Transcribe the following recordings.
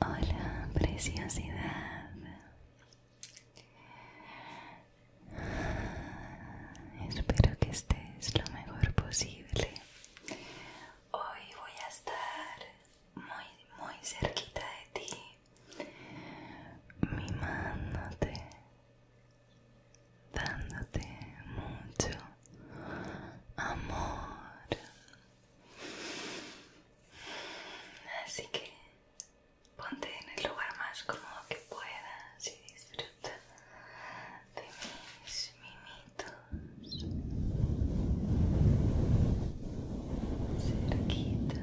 Hola, preciosidad. Espero que estés lo mejor posible. Hoy voy a estar muy, muy cerquita de ti mimándote, dándote mucho amor. Así que ponte en el lugar más cómodo que puedas y disfruta de mis mimitos cerquita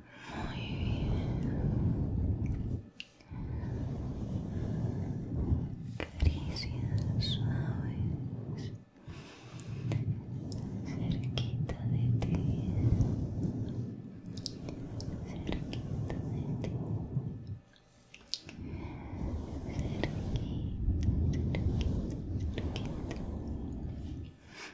Muy bien. Caricias suaves cerquita de ti, cerquita de ti, cerquita, cerquita, cerquita.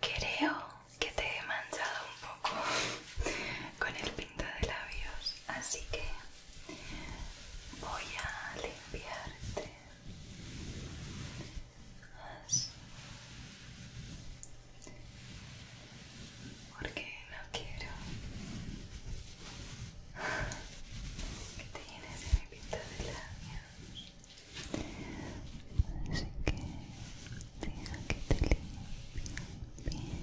Creo que te he manchado un poco con el pinta de labios, así que voy a limpiarte Así. Porque no quiero que te llenes de mi pinta de labios. Así que deja que te limpie bien.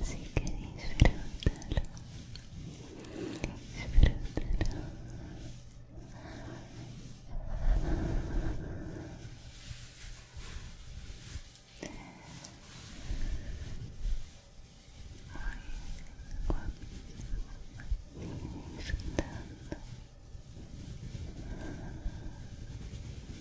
Así que disfrútalo, disfrútalo. Ay, disfrutando.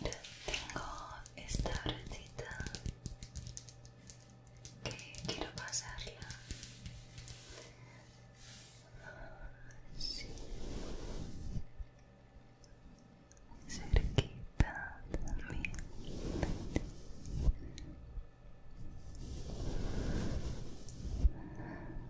Mira, tengo esta brochita que quiero pasarla. Sí. Cerquita también.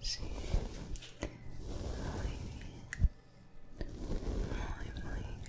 Sí. Muy bien. Muy, muy bien.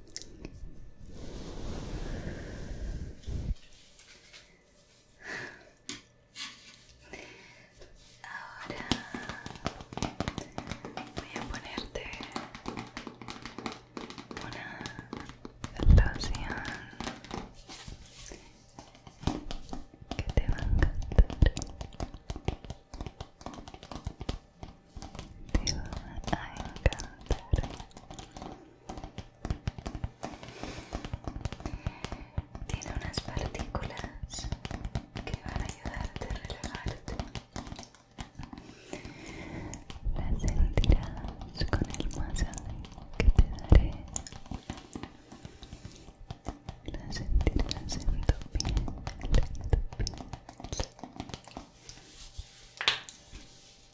Ahora voy a ponerte una loción que te va a encantar. Te va a encantar. Tiene unas partículas que van a ayudarte a relajarte. Las sentirás con el masaje que te daré. Las sentirás en tu piel, en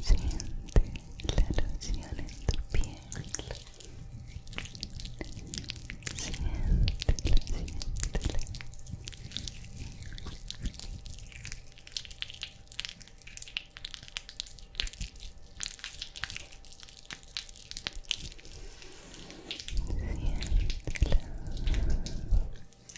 Siente la loción en tu piel. siente siéntela. Siéntela. Siéntela.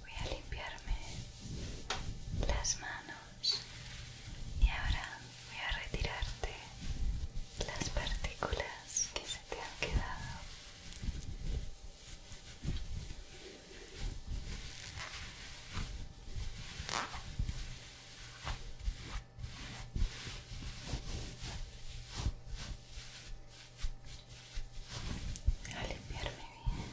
Voy a limpiarme las manos y ahora voy a retirarte las partículas que se te han quedado a limpiarme bien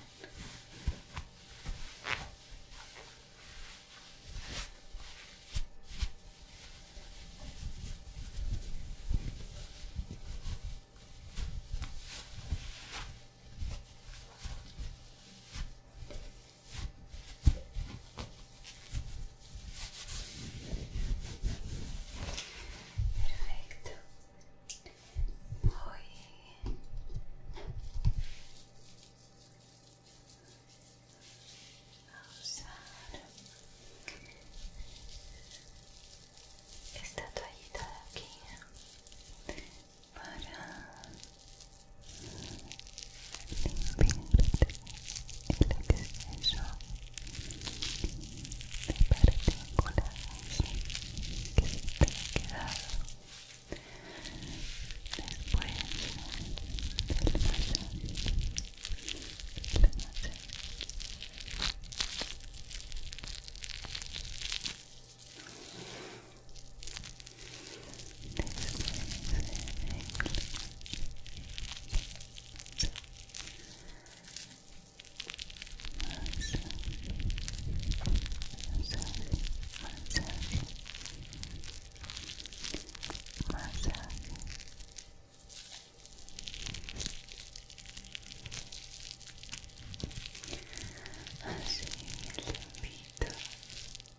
Perfecto. Voy. vamos Vamos Esta toallita de aquí para limpiarte el exceso de partículas que se te han quedado después del la noche Así el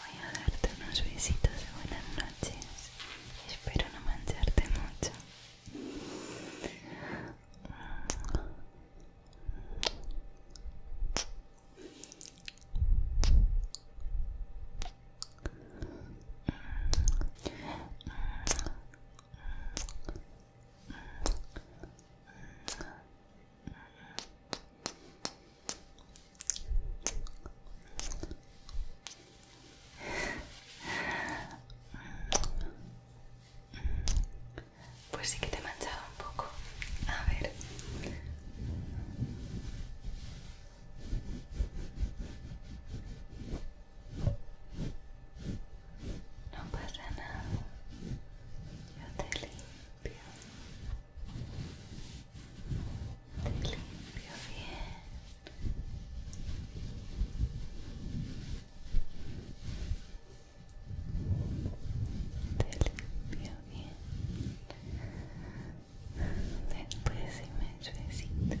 Voy a darte unos besitos de buenas noches. Espero no mancharte mucho. Pues sí que te manchaba un poco. A ver. No pasa nada. Yo te limpio limpio limpio bien te limpio bien después si me suecitas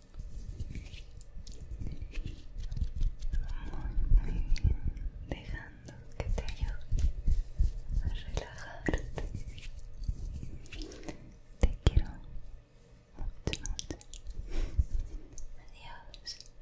muy bien, dejando que te ayude a relajarte. Te quiero mucho, mucho. Adiós.